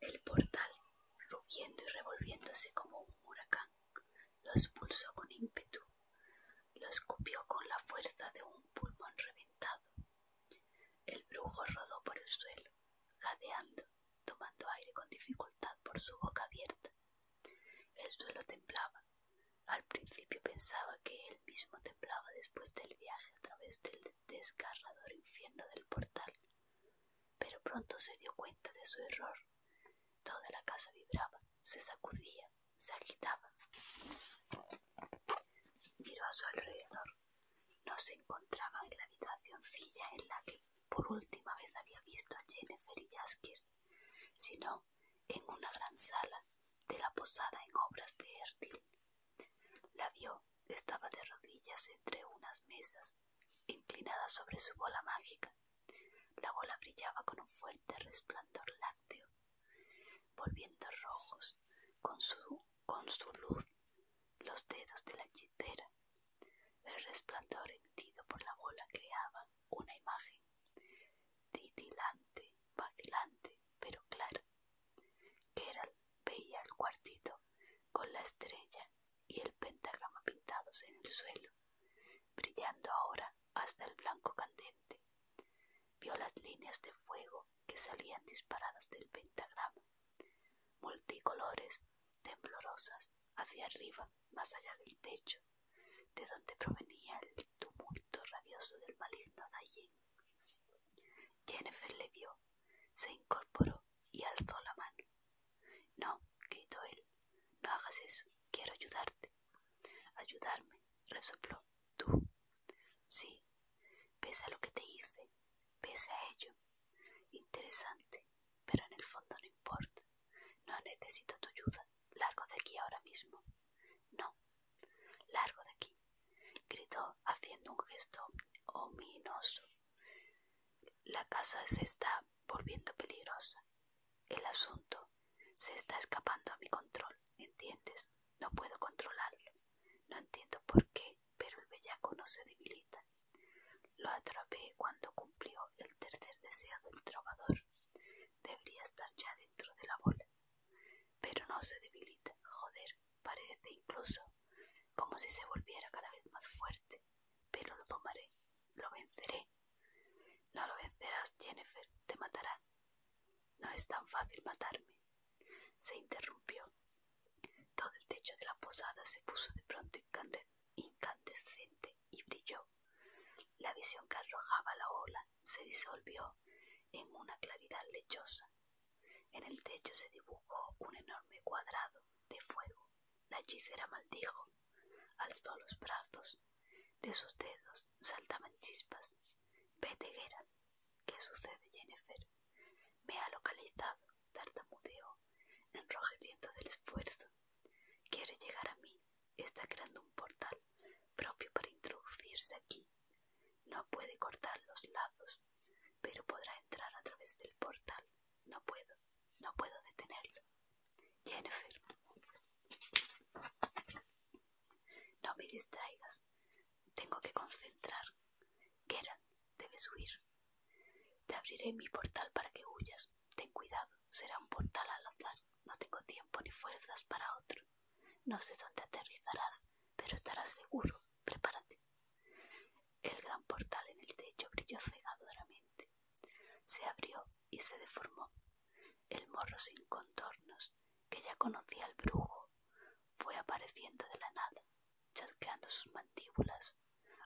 El portal, rugiendo y revolviéndose como un huracán, lo expulsó con ímpetu, lo escupió con la fuerza de un pulmón reventado. El brujo rodó por el suelo, jadeando, tomando aire con dificultad por su boca abierta. El suelo temblaba. Al principio pensaba que él mismo temblaba después del viaje a través del desgarrador infierno del portal. Pero pronto se dio cuenta de su error. Toda la casa vibraba, se sacudía, se agitaba. Miró a su alrededor. No se encontraba en la habitación silla en la que por última vez había visto a Jennifer y Jaskier, sino en una gran sala de la posada en obras de Erdil, la vio, estaba de rodillas entre unas mesas, inclinada sobre su bola mágica. La bola brillaba con un fuerte resplandor lácteo, volviendo rojos con su, con su luz los dedos de la hechicera. El resplandor emitido por la bola creaba una imagen titilante, vacilante, pero clara. Keral veía el cuartito con la estrella y el pentagrama pintados en el suelo, brillando ahora hasta el blanco candente. Vio las líneas de fuego que salían disparadas del pentagrama, multicolores, temblorosas, hacia arriba, más allá del techo, de donde provenía el tumulto rabioso del maligno Jennifer le vio, se incorporó y alzó la mano. No, gritó él, no hagas eso, quiero ayudarte. Ayudarme, resopló. Tú. Sí, pese a lo que te hice, pese a ello. Interesante, pero en el fondo no importa. No necesito tu ayuda. Largo de aquí ahora mismo. No, Largo de aquí, gritó haciendo un gesto ominoso. La casa se está volviendo peligrosa. El asunto se está escapando a mi control, ¿entiendes? No puedo controlarlo. No entiendo por qué, pero el bellaco no se debilita. Lo atrapé cuando cumplió el tercer deseo del trovador. Debería estar ya dentro de la bola. Pero no se debilita, joder. Parece incluso como si se volviera cada vez más fuerte. Pero lo tomaré, lo venceré. No lo vencerás, Jennifer, te matará. No es tan fácil matarme. Se interrumpió. Todo el techo de la posada se puso de pronto incandescente y brilló. La visión que arrojaba la ola se disolvió en una claridad lechosa. En el techo se dibujó un enorme cuadrado de fuego. La hechicera maldijo, alzó los brazos, de sus dedos saltaban chispas. Vete, ¿Qué sucede, Jennifer? Me ha localizado, tartamudeó, enrojeciendo del esfuerzo. Quiere llegar a mí. Está creando un portal propio para introducirse aquí. No puede cortar los lazos, pero podrá entrar a través del portal. No puedo, no puedo detenerlo. Jennifer, no me distraigas. Tengo que concentrar. era? debes huir. Te abriré mi portal para que huyas. Ten cuidado, será un portal al azar. No tengo tiempo ni fuerzas para otro. No sé dónde aterrizarás, pero estarás seguro. Prepárate. El gran portal en el techo brilló cegadoramente. Se abrió y se deformó. El morro sin contornos, que ya conocía el brujo, fue apareciendo de la nada, chasqueando sus mandíbulas,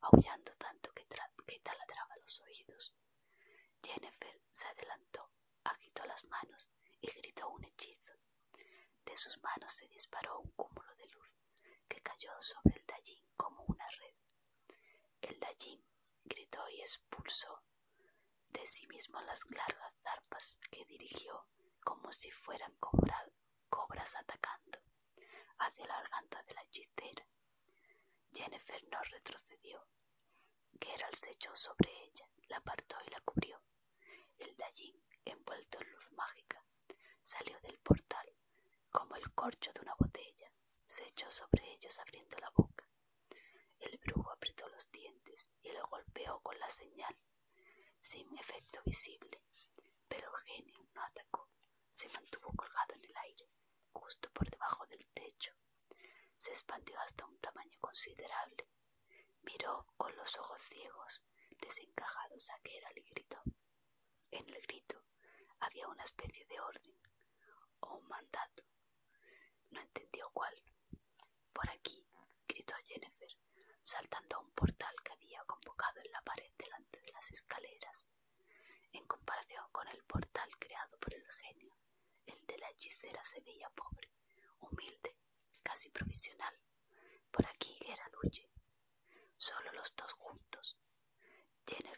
aullando tanto que, que taladraba los oídos. Jennifer se adelantó agitó las manos y gritó un hechizo. De sus manos se disparó un cúmulo de luz que cayó sobre el Dallín como una red. El Dallín gritó y expulsó de sí mismo las largas zarpas que dirigió como si fueran cobras atacando hacia la garganta de la hechicera. Jennifer no retrocedió. Geralt se echó sobre ella, la apartó y la cubrió. El Dallín, envuelto en luz mágica, salió del portal como el corcho de una botella. Se echó sobre ellos abriendo la boca. El brujo apretó los dientes y lo golpeó con la señal, sin efecto visible. Pero genio no atacó, se mantuvo colgado en el aire, justo por debajo del techo, se expandió hasta un tamaño considerable. Miró con los ojos ciegos, desencajados a era y gritó. En el grito había una especie de orden o un mandato. No entendió cuál. Por aquí, gritó Jennifer, saltando a un portal que había convocado en la pared delante de las escaleras. En comparación con el portal creado por el genio, el de la hechicera se veía pobre humilde, casi provisional. Por aquí era luche Solo los dos juntos.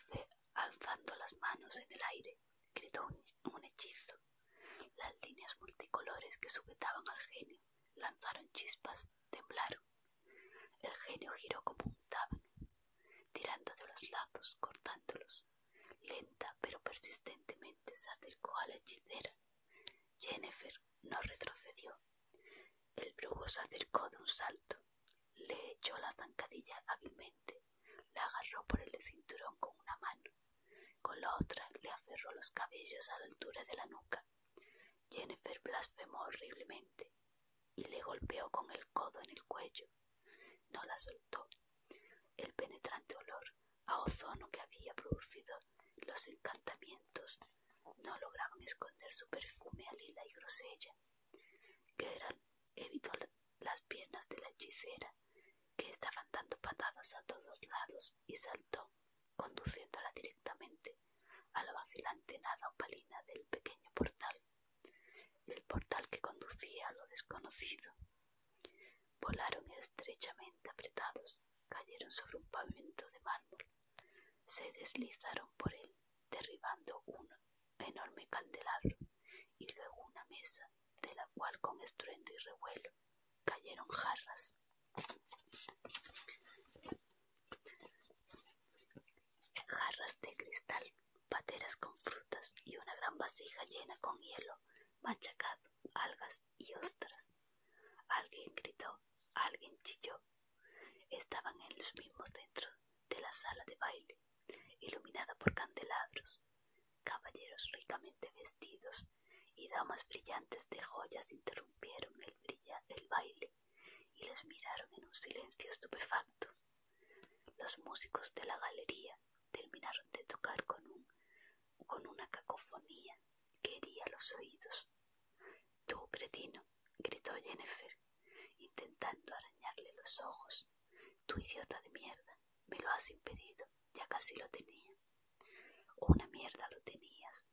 fe alzando las manos en el aire, gritó un, hechizo. Las líneas multicolores que sujetaban al genio lanzaron chispas, temblaron. El genio giró como un tábano, tirando de los lazos, cortándolos Lenta pero persistentemente se acercó a la hechicera. Jennifer no retrocedió. El brujo se acercó de un salto, le echó la zancadilla hábilmente, la agarró por el cinturón con una mano, con la otra le aferró los cabellos a la altura de la nuca. Jennifer blasfemó horriblemente y le golpeó con el codo en el cuello. No la soltó. El penetrante olor a ozono que había producido los encantamientos no lograban esconder su perfume a lila y grosella. que Geralt evitó las piernas de la hechicera, que estaban dando patadas a todos lados, y saltó, conduciéndola directamente a la vacilante nada opalina del pequeño portal, el portal que conducía a lo desconocido. Volaron estrechamente apretados, cayeron sobre un pavimento de mármol, se deslizaron por él, derribando un enorme candelabro y luego una mesa, de la cual con estruendo y revuelo cayeron jarras. Jarras de cristal pateras con frutas y una gran vasija llena con hielo, machacado, algas y ostras. Alguien gritó, alguien chilló. Estaban en los mismos dentro de la sala de baile, iluminada por candelabros, caballeros ricamente vestidos y damas brillantes de joyas interrumpieron el, el baile y les miraron en un silencio estupefacto. Los músicos de la galería terminaron de tocar con, con una cacofonía que hería los oídos. Tú, cretino, gritó Jennifer, intentando arañarle los ojos. Tú, idiota de mierda, me lo has impedido, ya casi lo tenías. Una mierda lo tenías,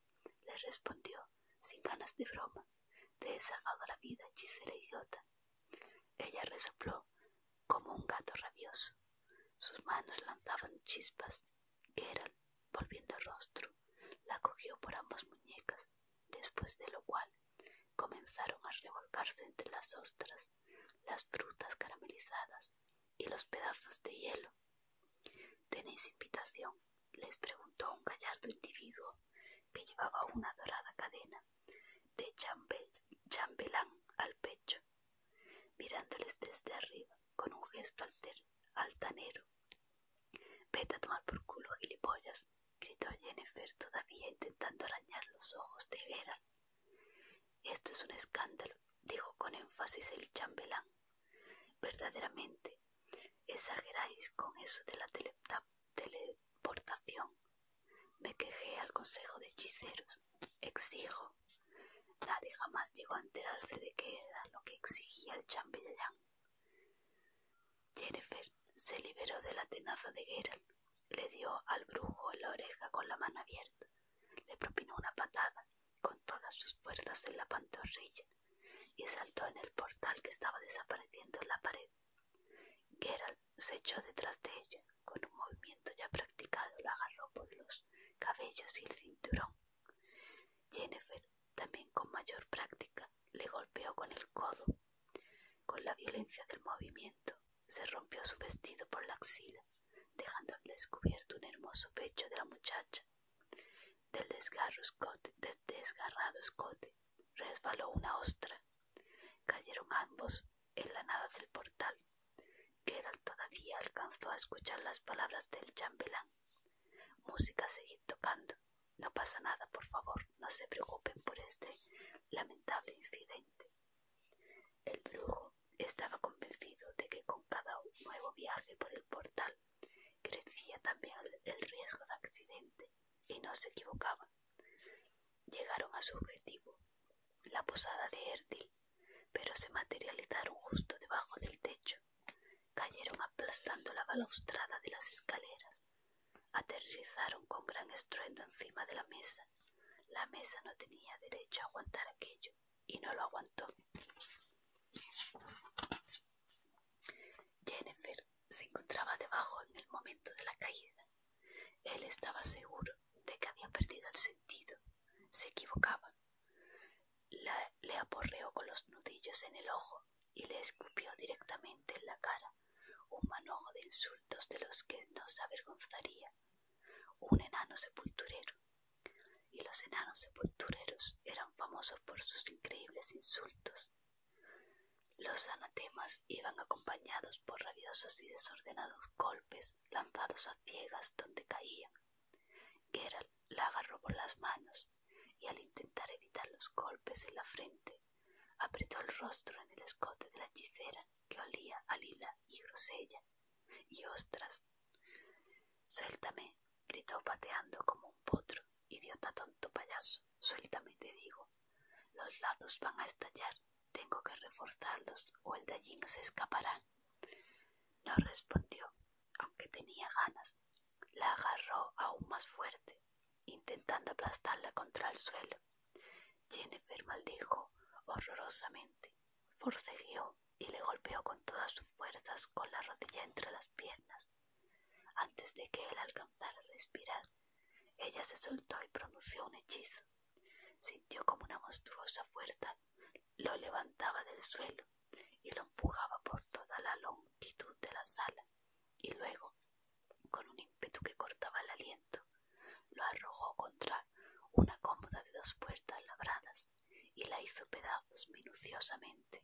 le respondió, sin ganas de broma. Te he salvado la vida, hechicera idiota. Ella resopló como un gato rabioso. Sus manos lanzaban chispas. eran volviendo el rostro, la cogió por ambas muñecas, después de lo cual comenzaron a revolcarse entre las ostras, las frutas caramelizadas y los pedazos de hielo. ¿Tenéis invitación? les preguntó un gallardo individuo que llevaba una dorada cadena de chambelán al pecho, mirándoles desde arriba con un gesto altanero. Vete a tomar por culo, gilipollas, gritó Jennifer todavía intentando arañar los ojos de Gerald. Esto es un escándalo, dijo con énfasis el chambelán. Verdaderamente, exageráis con eso de la teleportación. Me quejé al consejo de hechiceros. Exijo. Nadie jamás llegó a enterarse de qué era lo que exigía el chambellán. Jennifer se liberó de la tenaza de guerra Le dio al brujo la oreja con la mano abierta. Le propinó una patada con todas sus fuerzas en la pantorrilla y saltó en el portal que estaba desapareciendo en la pared Geralt se echó detrás de ella. Con un movimiento ya practicado, la agarró por los cabellos y el cinturón. Jennifer, también con mayor práctica, le golpeó con el codo. Con la violencia del movimiento, se rompió su vestido por la axila, dejando al descubierto un hermoso pecho de la muchacha. Del desgarro del desgarrado escote resbaló una ostra Cayeron ambos en la nada del portal. Geralt todavía alcanzó a escuchar las palabras del chambelán. Música seguid tocando. No pasa nada, por favor, no se preocupen por este lamentable incidente. El brujo estaba convencido de que con cada nuevo viaje por el portal crecía también el riesgo de accidente, y no se equivocaba. Llegaron a su objetivo, la posada de Erdil, pero se materializaron justo debajo del techo. Cayeron aplastando la balaustrada de las escaleras. Aterrizaron con gran estruendo encima de la mesa. La mesa no tenía derecho a aguantar aquello y no lo aguantó. Jennifer se encontraba debajo en el momento de la caída. Él estaba seguro de que había perdido el sentido. Se equivocaba. le aporreó con los nudillos en el ojo y le escupió directamente en la cara un manojo de insultos de los que no se avergonzaría. Un enano sepulturero. Y los enanos sepultureros eran famosos por sus increíbles insultos. Los anatemas iban acompañados por rabiosos y desordenados golpes lanzados a ciegas donde caía. Gerald la agarró por las manos y al intentar evitar los golpes en la frente, apretó el rostro en el escote de la hechicera que olía a lila y grosella y ostras. Suéltame, gritó pateando como un potro, idiota tonto payaso sueltamente digo. Los lados van a estallar. Tengo que reforzarlos o el Dallín se escapará. No respondió, aunque tenía ganas. La agarró aún más fuerte, intentando aplastarla contra el suelo. Jennifer maldijo horrorosamente, forcejeó y le golpeó con todas sus fuerzas con la rodilla entre las piernas. Antes de que él alcanzara a respirar, ella se soltó y pronunció un hechizo. Sintió como una monstruosa fuerza lo levantaba del suelo y lo empujaba por toda la longitud de la sala, y luego, con un ímpetu que cortaba el aliento, lo arrojó contra una cómoda de dos puertas labradas y la hizo pedazos minuciosamente.